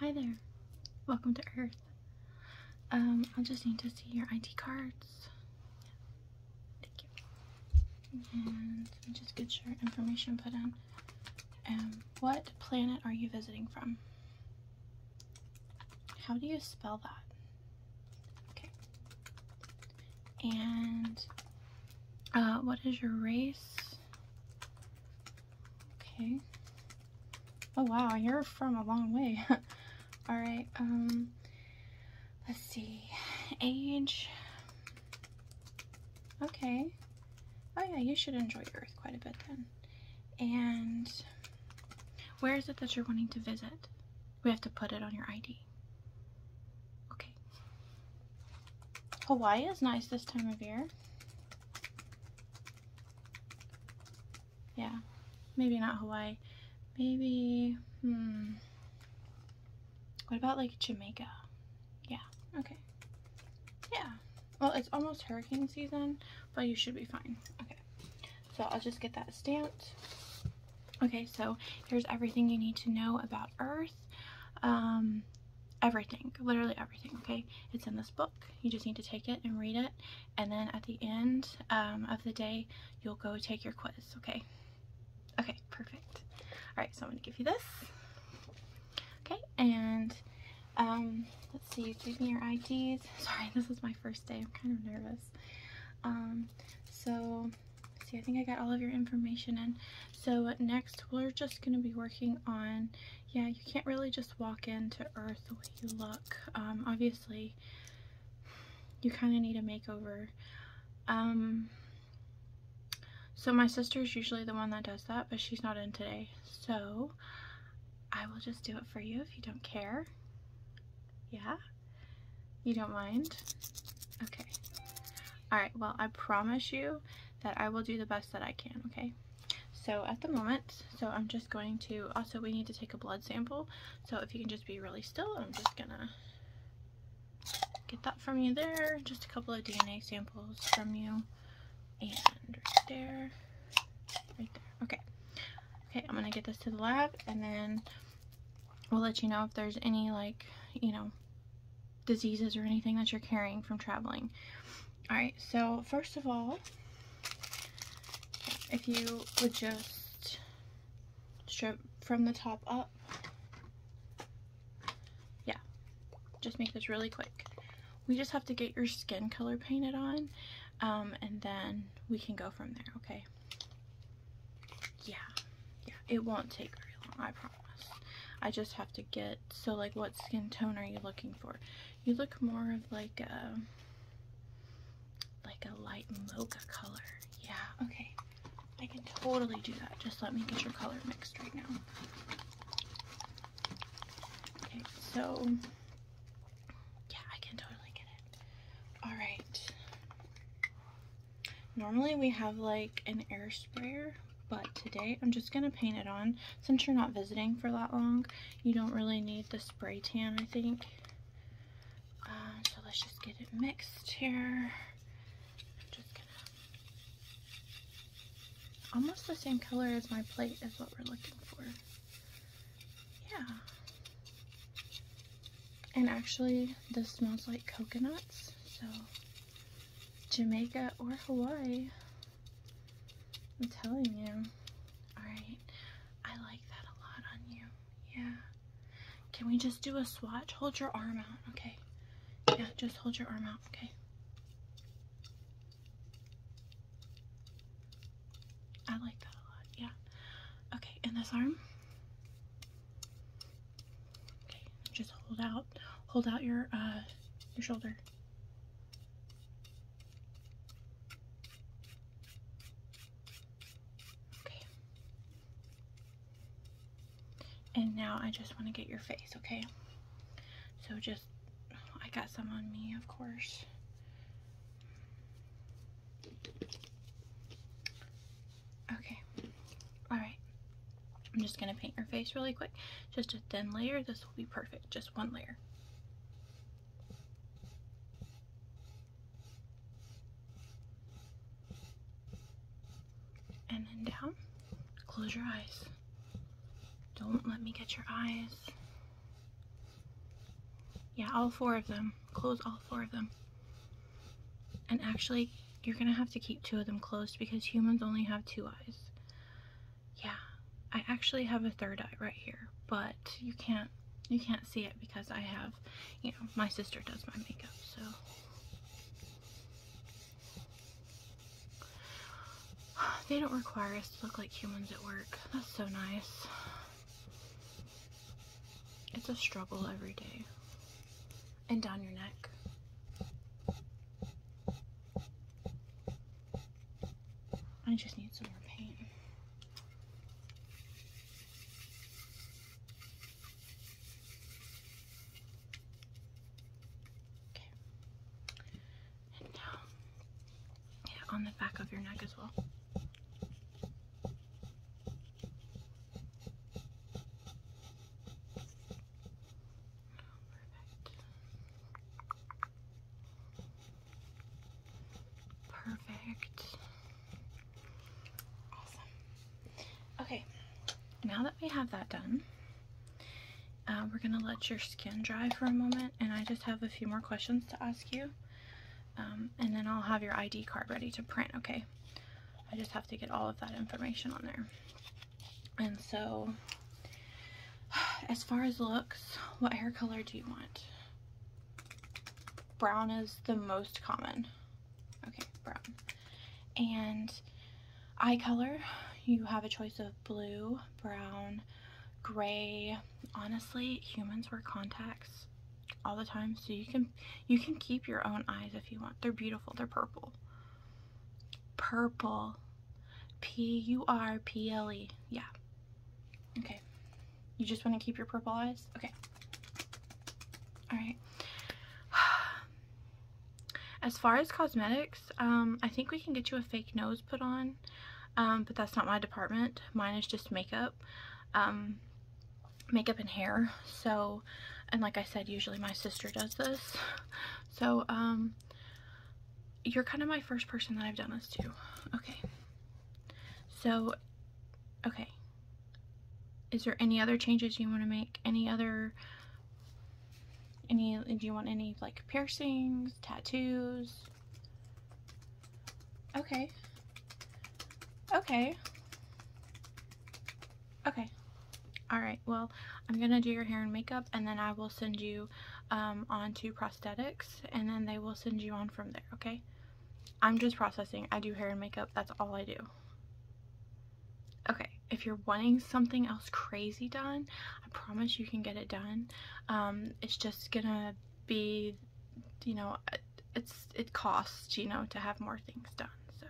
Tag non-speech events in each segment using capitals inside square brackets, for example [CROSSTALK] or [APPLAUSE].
Hi there. Welcome to Earth. Um, I'll just need to see your ID cards. Thank you. And just get your information put in. Um, what planet are you visiting from? How do you spell that? Okay. And uh, what is your race? Okay. Oh wow, you're from a long way. [LAUGHS] Alright, um, let's see. Age. Okay. Oh yeah, you should enjoy Earth quite a bit then. And where is it that you're wanting to visit? We have to put it on your ID. Okay. Hawaii is nice this time of year. Yeah, maybe not Hawaii. Maybe, hmm. What about like Jamaica? Yeah, okay. Yeah. Well, it's almost hurricane season, but you should be fine. Okay. So I'll just get that stamped. Okay, so here's everything you need to know about Earth. Um, everything literally everything okay it's in this book you just need to take it and read it and then at the end um, of the day you'll go take your quiz okay okay perfect all right so i'm gonna give you this okay and um, let's see give me your ids [LAUGHS] sorry this is my first day i'm kind of nervous um, so see i think i got all of your information in so next we're just going to be working on yeah, you can't really just walk into Earth the way you look. Um, obviously, you kind of need a makeover. Um, so my sister's usually the one that does that, but she's not in today. So I will just do it for you if you don't care. Yeah? You don't mind? Okay. Alright, well, I promise you that I will do the best that I can, okay? So at the moment, so I'm just going to, also we need to take a blood sample. So if you can just be really still, I'm just gonna get that from you there. Just a couple of DNA samples from you. And right there, right there, okay. Okay, I'm gonna get this to the lab and then we'll let you know if there's any like, you know, diseases or anything that you're carrying from traveling. All right, so first of all, if you would just strip from the top up, yeah, just make this really quick. We just have to get your skin color painted on, um, and then we can go from there, okay? Yeah, yeah, it won't take very long, I promise. I just have to get so like what skin tone are you looking for? You look more of like a like a light mocha color. Yeah, okay. I can totally do that. Just let me get your color mixed right now. Okay, so yeah, I can totally get it. Alright. Normally we have like an air sprayer but today I'm just going to paint it on. Since you're not visiting for that long, you don't really need the spray tan, I think. Uh, so let's just get it mixed here. Almost the same color as my plate is what we're looking for. Yeah. And actually, this smells like coconuts, so Jamaica or Hawaii. I'm telling you. Alright. I like that a lot on you. Yeah. Can we just do a swatch? Hold your arm out, okay? Yeah, just hold your arm out, okay? I like that a lot, yeah. Okay, and this arm? Okay, just hold out, hold out your, uh, your shoulder. Okay. And now I just want to get your face, okay? So just, I got some on me, of course. Okay. Alright. I'm just going to paint your face really quick. Just a thin layer. This will be perfect just one layer. And then down, close your eyes. Don't let me get your eyes. Yeah, all four of them. Close all four of them. And actually, you're gonna have to keep two of them closed because humans only have two eyes yeah, I actually have a third eye right here, but you can't you can't see it because I have, you know, my sister does my makeup, so. They don't require us to look like humans at work. That's so nice. It's a struggle every day. And down your neck. I just need some more paint. Okay. And now, um, on the back of your neck as well. Perfect. Perfect. Awesome. Okay, now that we have that done, uh, we're going to let your skin dry for a moment, and I just have a few more questions to ask you. Um, and then I'll have your ID card ready to print, okay? I just have to get all of that information on there. And so, [SIGHS] as far as looks, what hair color do you want? Brown is the most common. Okay, brown. And eye color, you have a choice of blue, brown, gray. Honestly, humans wear contacts all the time, so you can you can keep your own eyes if you want. They're beautiful. They're purple. Purple. P-U-R-P-L-E. Yeah. Okay. You just want to keep your purple eyes? Okay. Alright. [SIGHS] As far as cosmetics, um, I think we can get you a fake nose put on, um, but that's not my department. Mine is just makeup, um, makeup and hair. So, and like I said, usually my sister does this. So, um, you're kind of my first person that I've done this to. Okay. So, okay. Is there any other changes you want to make? Any other, any, do you want any like piercings, tattoos? Okay. Okay. Okay. All right. Well, I'm going to do your hair and makeup and then I will send you um, on to prosthetics and then they will send you on from there, okay? I'm just processing. I do hair and makeup. That's all I do. Okay, if you're wanting something else crazy done, I promise you can get it done. Um, it's just gonna be, you know, it's it costs, you know, to have more things done So,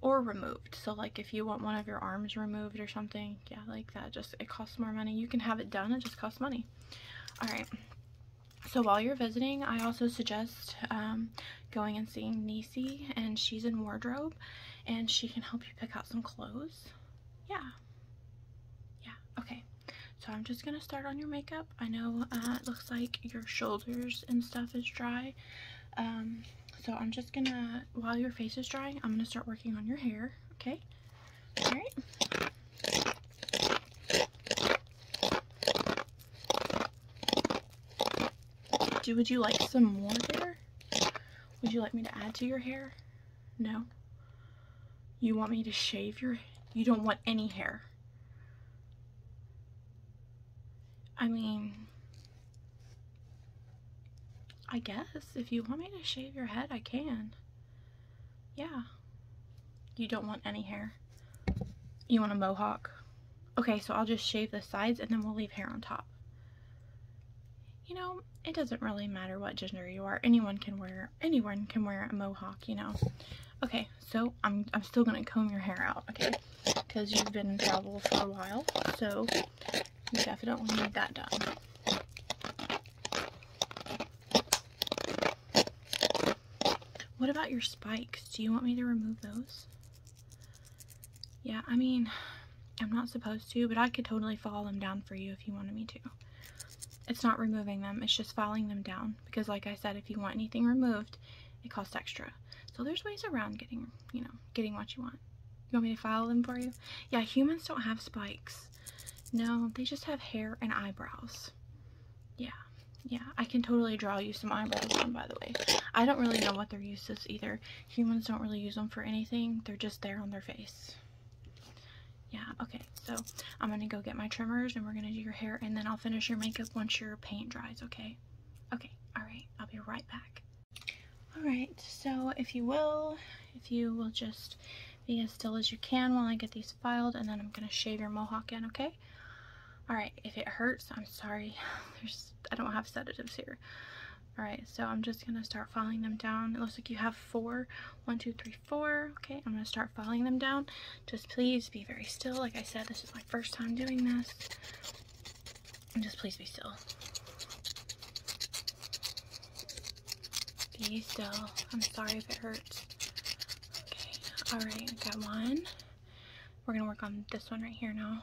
or removed. So like if you want one of your arms removed or something, yeah like that just it costs more money you can have it done it just costs money all right so while you're visiting I also suggest um, going and seeing Nisi and she's in wardrobe and she can help you pick out some clothes yeah yeah okay so I'm just gonna start on your makeup I know uh, it looks like your shoulders and stuff is dry um, so I'm just gonna, while your face is drying, I'm gonna start working on your hair, okay? All right. Do, would you like some more hair? Would you like me to add to your hair? No? You want me to shave your, you don't want any hair. I mean, I guess if you want me to shave your head, I can. Yeah. You don't want any hair. You want a mohawk? Okay, so I'll just shave the sides and then we'll leave hair on top. You know, it doesn't really matter what gender you are. Anyone can wear anyone can wear a mohawk, you know. Okay, so I'm I'm still gonna comb your hair out, okay? Because you've been in trouble for a while. So you definitely need that done. What about your spikes? Do you want me to remove those? Yeah, I mean, I'm not supposed to, but I could totally file them down for you if you wanted me to. It's not removing them, it's just filing them down. Because like I said, if you want anything removed, it costs extra. So there's ways around getting, you know, getting what you want. You want me to file them for you? Yeah, humans don't have spikes. No, they just have hair and eyebrows. Yeah, yeah. I can totally draw you some eyebrows on, by the way. I don't really know what their uses either. Humans don't really use them for anything. They're just there on their face. Yeah, okay. So I'm going to go get my trimmers and we're going to do your hair and then I'll finish your makeup once your paint dries, okay? Okay, all right. I'll be right back. All right, so if you will, if you will just be as still as you can while I get these filed and then I'm gonna shave your mohawk in, okay? All right, if it hurts, I'm sorry. [LAUGHS] There's, I don't have sedatives here. All right, so I'm just gonna start filing them down. It looks like you have four. One, two, three, four. Okay, I'm gonna start filing them down. Just please be very still. Like I said, this is my first time doing this. Just please be still. Be still. I'm sorry if it hurts. Okay. Alright, got one. We're gonna work on this one right here now.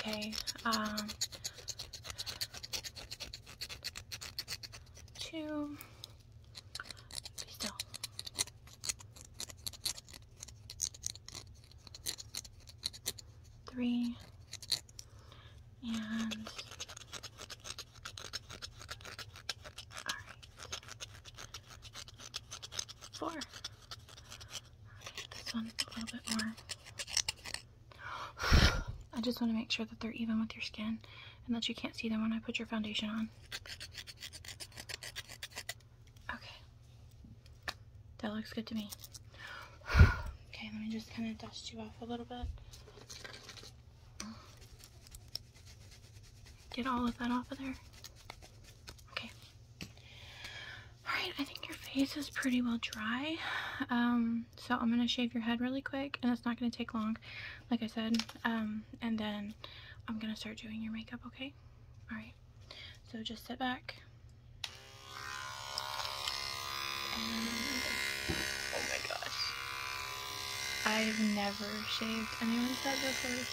Okay. Um two. Be still three, and right, four. Okay, this one's a little bit more. [SIGHS] I just want to make sure that they're even with your skin and that you can't see them when I put your foundation on. Okay. That looks good to me. [SIGHS] okay, let me just kind of dust you off a little bit. Get all of that off of there. Okay. Alright, I think your face is pretty well dry. Um, so I'm going to shave your head really quick, and it's not going to take long, like I said. Um, and then I'm going to start doing your makeup, okay? Alright. So just sit back. And, oh my gosh. I've never shaved anyone's head before.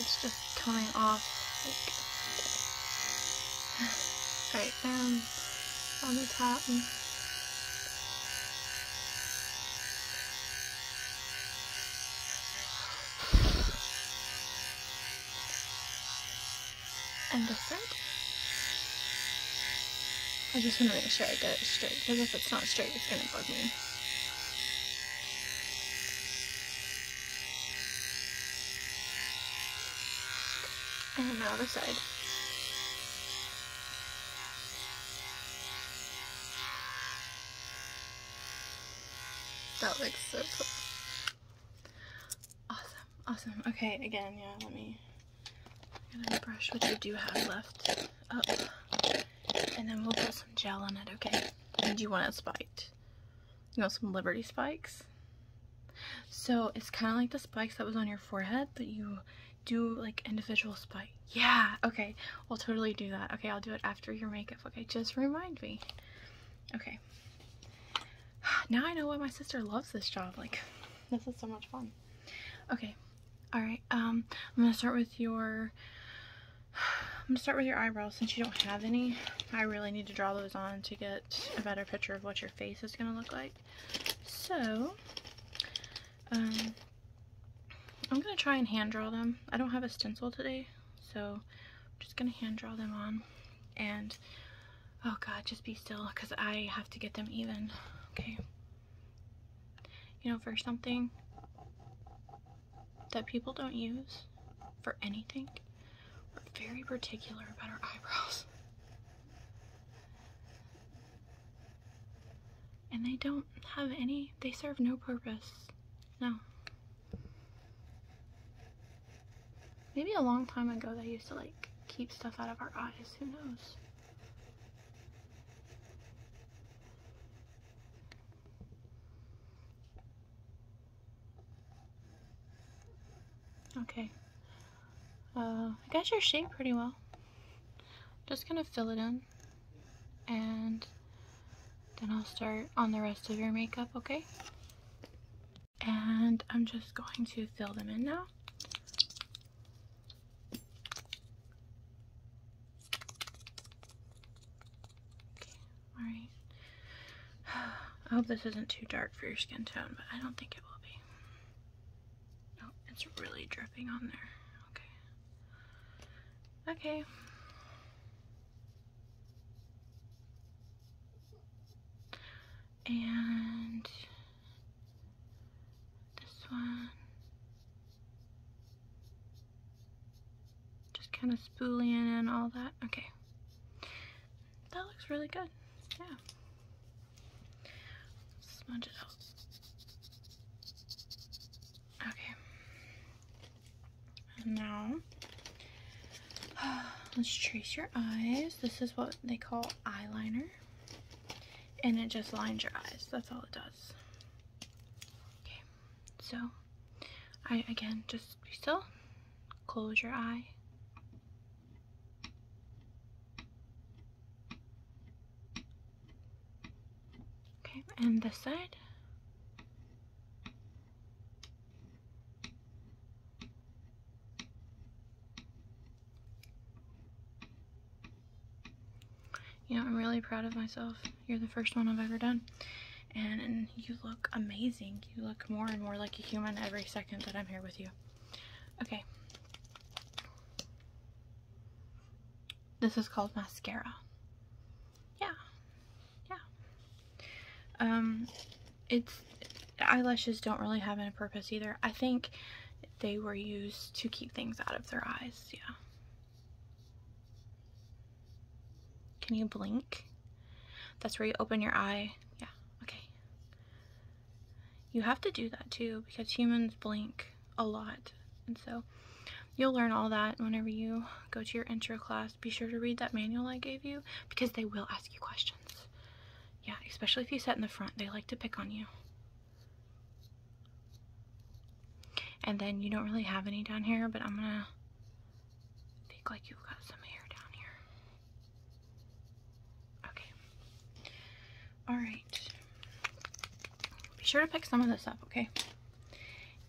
It's just coming off. Like, right down um, on the top. And the thread. I just want to make sure I get it straight, because if it's not straight, it's going to bug me. And now the side. That looks so cool. Awesome, awesome. Okay, again, yeah, let me brush what I do have left up. And then we'll put some gel on it, okay? And you want a spiked. You know, some Liberty spikes? So it's kind of like the spikes that was on your forehead, that you do like individual spot? Yeah, okay. I'll totally do that. Okay, I'll do it after your makeup. Okay, just remind me. Okay. [SIGHS] Now I know why my sister loves this job. Like, [LAUGHS] this is so much fun. Okay. All right. Um, I'm gonna start with your. [SIGHS] I'm gonna start with your eyebrows since you don't have any. I really need to draw those on to get a better picture of what your face is gonna look like. So, um, I'm gonna try and hand draw them. I don't have a stencil today, so I'm just gonna hand draw them on. And, oh God, just be still, because I have to get them even, okay? You know, for something that people don't use for anything, we're very particular about our eyebrows. And they don't have any, they serve no purpose. No. Maybe a long time ago they used to like keep stuff out of our eyes, who knows? Okay. Uh, I guess you're shape pretty well just gonna fill it in and then I'll start on the rest of your makeup, okay? And I'm just going to fill them in now. Okay, alright. [SIGHS] I hope this isn't too dark for your skin tone, but I don't think it will be. No, it's really dripping on there. Okay. Okay. And this one. Just kind of spooling in all that. Okay. That looks really good. Yeah. Smudge it out. Okay. And now, [SIGHS] let's trace your eyes. This is what they call eyeliner. And it just lines your eyes. That's all it does. Okay. So, I again, just be still. Close your eye. Okay, and this side. You know, I'm really proud of myself. You're the first one I've ever done. And, you look amazing. You look more and more like a human every second that I'm here with you. Okay. This is called mascara. Yeah. Yeah. Um, it's, eyelashes don't really have any purpose either. I think they were used to keep things out of their eyes. Yeah. Can you blink? That's where you open your eye. Yeah, okay. You have to do that too because humans blink a lot. And so you'll learn all that whenever you go to your intro class. Be sure to read that manual I gave you because they will ask you questions. Yeah, especially if you sit in the front, they like to pick on you. And then you don't really have any down here, but I'm gonna think like you've got some hair down here. Okay. All right. Be sure to pick some of this up, okay?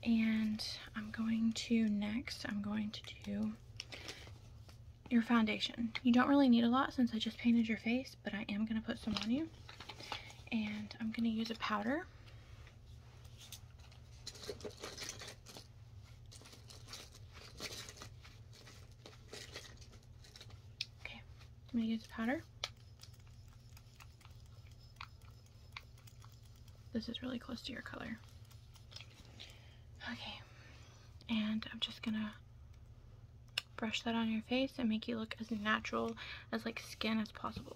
And I'm going to next, I'm going to do your foundation. You don't really need a lot since I just painted your face, but I am going to put some on you. And I'm going to use a powder. Okay, I'm going to use a powder. This is really close to your color. Okay, and I'm just gonna brush that on your face and make you look as natural as like skin as possible.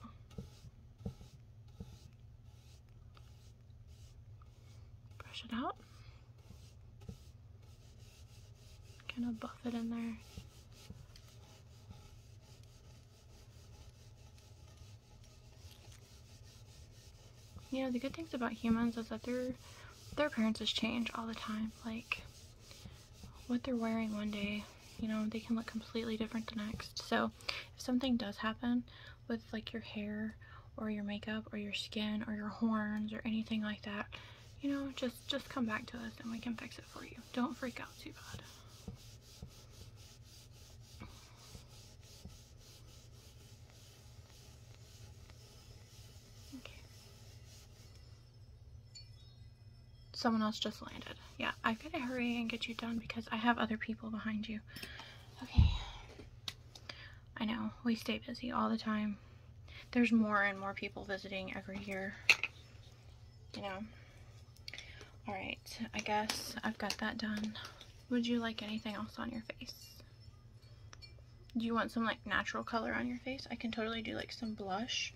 Brush it out. Kind of buff it in there. You know, the good things about humans is that their their appearances change all the time. Like what they're wearing one day, you know, they can look completely different the next. So if something does happen with like your hair or your makeup or your skin or your horns or anything like that, you know, just just come back to us and we can fix it for you. Don't freak out too bad. Okay. Someone else just landed. Yeah, i got to hurry and get you done because I have other people behind you. Okay. I know, we stay busy all the time. There's more and more people visiting every year you know. Alright, I guess I've got that done. Would you like anything else on your face? Do you want some like natural color on your face? I can totally do like some blush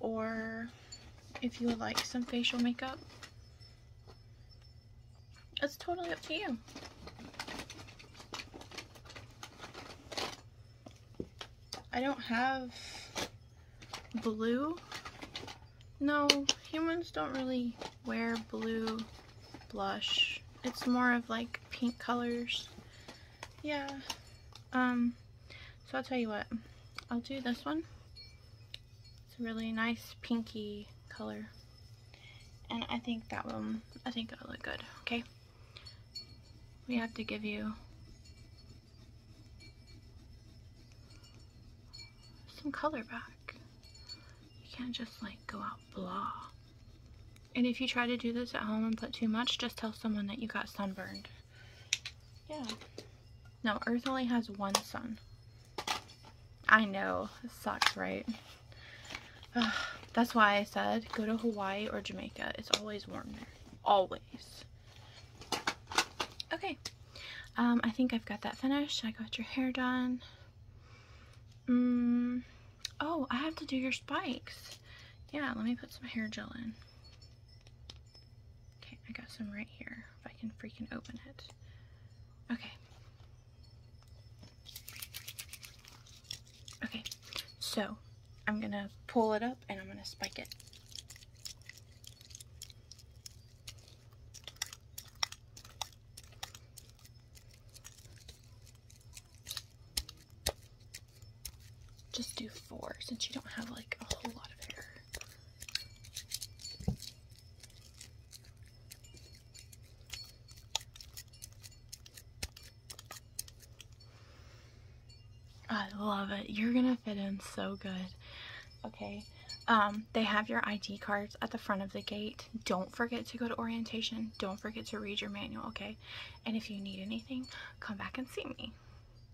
or if you would like some facial makeup. It's totally up to you. I don't have blue. No, humans don't really wear blue blush. It's more of like pink colors. Yeah. Um, so I'll tell you what. I'll do this one. It's a really nice pinky color. And I think that one, I think it'll look good, okay? We have to give you some color back. You can't just like go out blah. And if you try to do this at home and put too much, just tell someone that you got sunburned. Yeah. No, Earth only has one sun. I know. sucks, right? [SIGHS] That's why I said go to Hawaii or Jamaica. It's always warm there. Always. Okay, um, I think I've got that finished. I got your hair done. Mm, oh, I have to do your spikes. Yeah, let me put some hair gel in. Okay, I got some right here. If I can freaking open it. Okay. Okay, so I'm gonna pull it up and I'm gonna spike it. Just do four since you don't have like a whole lot of hair. I love it. You're gonna fit in so good. Okay. Um, they have your ID cards at the front of the gate. Don't forget to go to orientation. Don't forget to read your manual, okay? And if you need anything, come back and see me.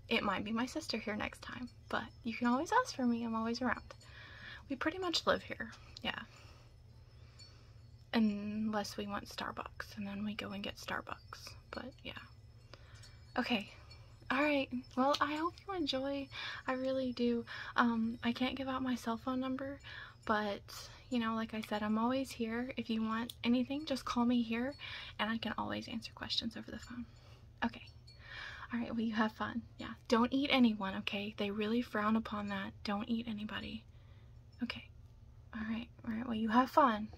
It might be my sister here next time, but you can always ask for me. I'm always around. We pretty much live here, yeah. Unless we want Starbucks, and then we go and get Starbucks. But yeah. Okay. Alright, well I hope you enjoy. I really do. Um, I can't give out my cell phone number, but you know, like I said, I'm always here. If you want anything, just call me here and I can always answer questions over the phone. Okay. Alright, well you have fun. Yeah, don't eat anyone, okay? They really frown upon that. Don't eat anybody. Okay. Alright, alright, well you have fun.